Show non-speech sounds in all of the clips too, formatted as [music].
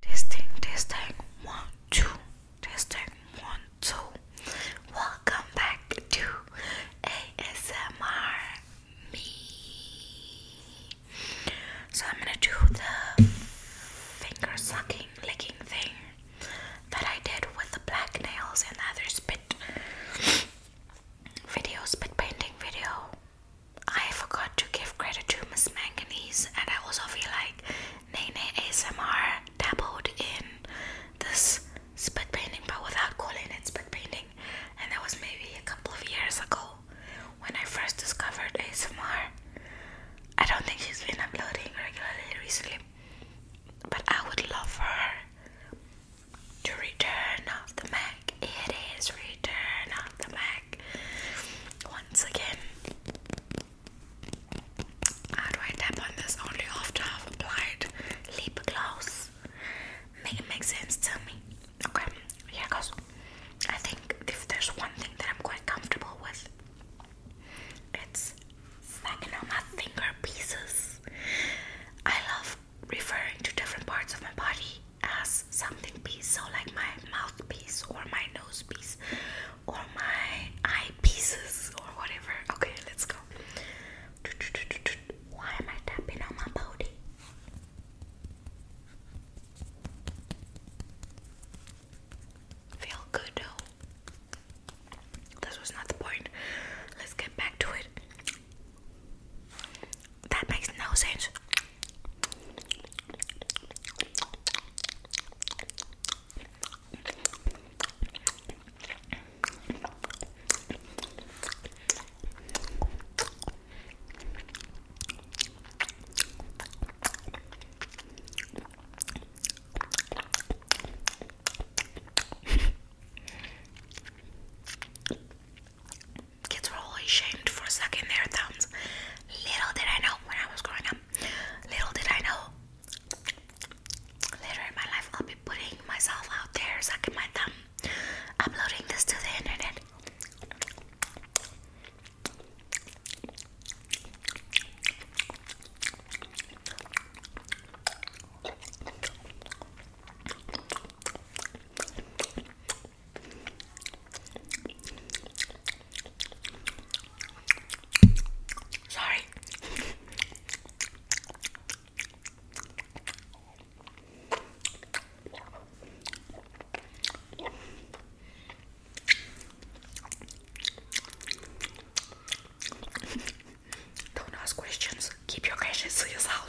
Testing, testing, one, two, testing, one, two. Welcome back to ASMR Me. So, I'm gonna do the finger sucking, licking thing that I did with the black nails and other spit video, spit painting video. I forgot to give credit to Miss Manganese, and I also feel like Nene ASMR dabbled in this spit painting, but without calling it spit painting. And that was maybe a couple of years ago when I first discovered ASMR. I don't think she's been uploading regularly recently, but I would love for her to return off the Mac. It is return off the Mac once again. How do I tap on this only after I've applied lip gloss? Make it make sense to me. Okay, yeah, I think if there's one thing that I'm quite comfortable with, it's smacking on my finger pieces. I love referring to different parts of my body as something piece, so like my mouthpiece or my nose piece or my eye pieces or whatever. Okay, let's go. Why am I tapping on my body? Feel good though. This was not the point. Let's get back to it. That makes no sense kids were always shamed for sucking their thumbs. Little did I know when I was growing up, little did I know later in my life I'll be putting myself out there, sucking my thumb, uploading this to the internet. Sorry. Don't ask questions. Keep your questions to yourself.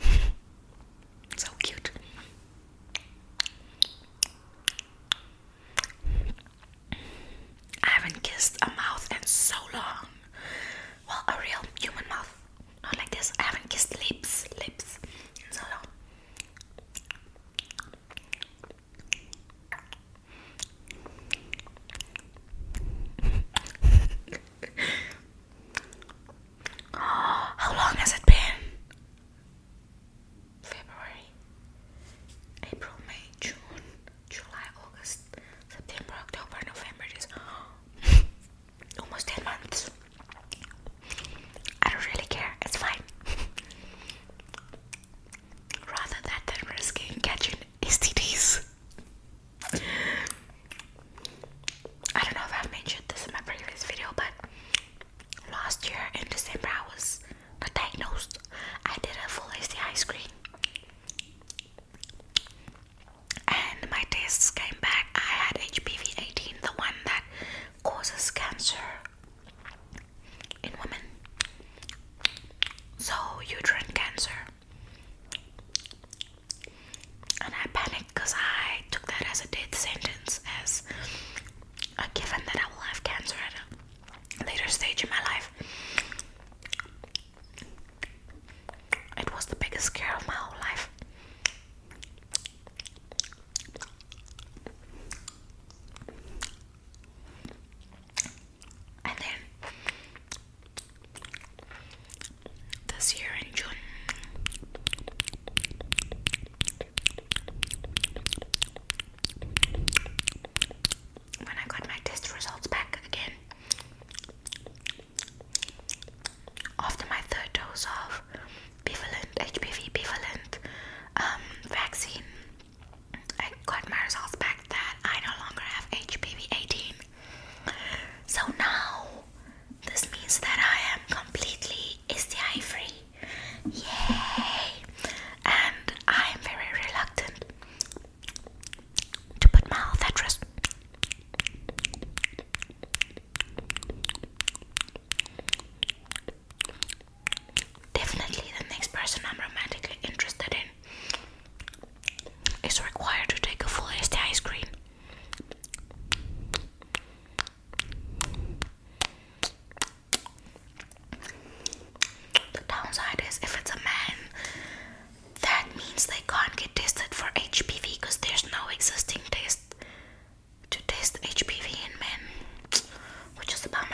[laughs] so cute. I haven't kissed a mouth in so long. Well, a real human mouth. Not like this. I haven't kissed lips, lips in so long. [laughs] [gasps] How long has it been? February, April, May, June, July, August, September, October, November. It is [gasps] almost 10 months. I don't really care, it's fine. [laughs] Rather than risking catching STDs. I don't know if I mentioned this in my previous video, but last year in December I was diagnosed. I did a full STI screen, and my tests came back. I had HPV 18, the one that causes cancer in women. So, uterine cancer. And I panicked because I took that as a death sentence, as a given that I will have cancer at a later stage in my life. It was the biggest scare of my whole life. And then this year in June. When I got my test results back again after my third dose of bivalent HPV bivalent um, vaccine, I got my results back that I no longer have HPV 18 so now this means that I am completely STI free. Yay! And I am very reluctant to put my health Definitely the next person I'm romantically interested in it's required to take a full ST ice cream. The downside is if it's a man, that means they can't get tested for HPV because there's no existing test to test HPV in men, which is a bummer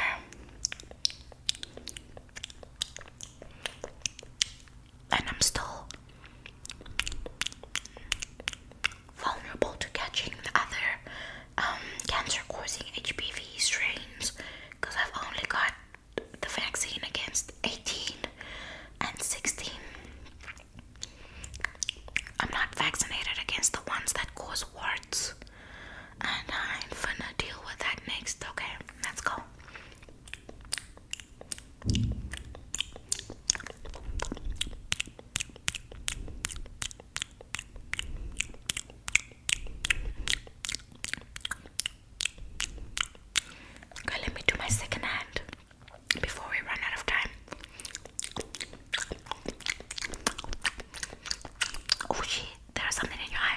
and I'm still vulnerable to catching other um, cancer-causing HPV strains because I've only got the vaccine against 18 and 16. I'm not vaccinated against the ones that cause warts, and I'm going deal with that next. Okay, let's go. Okay, let me do my second hand before we run out of time. Oh shit, there is something in your eye.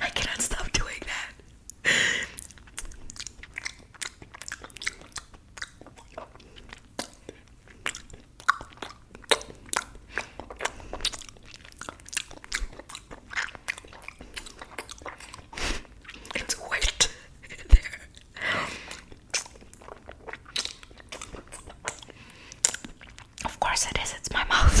I cannot stop doing that. It's wet [laughs] there. Of course it is, it's my mouth.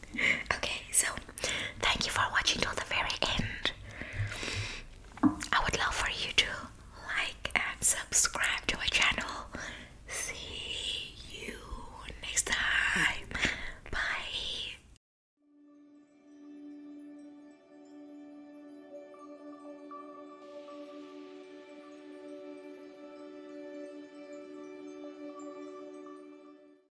[laughs] okay, so thank you for watching till the very end. I would love for you to like and subscribe to my channel. See you next time. Bye.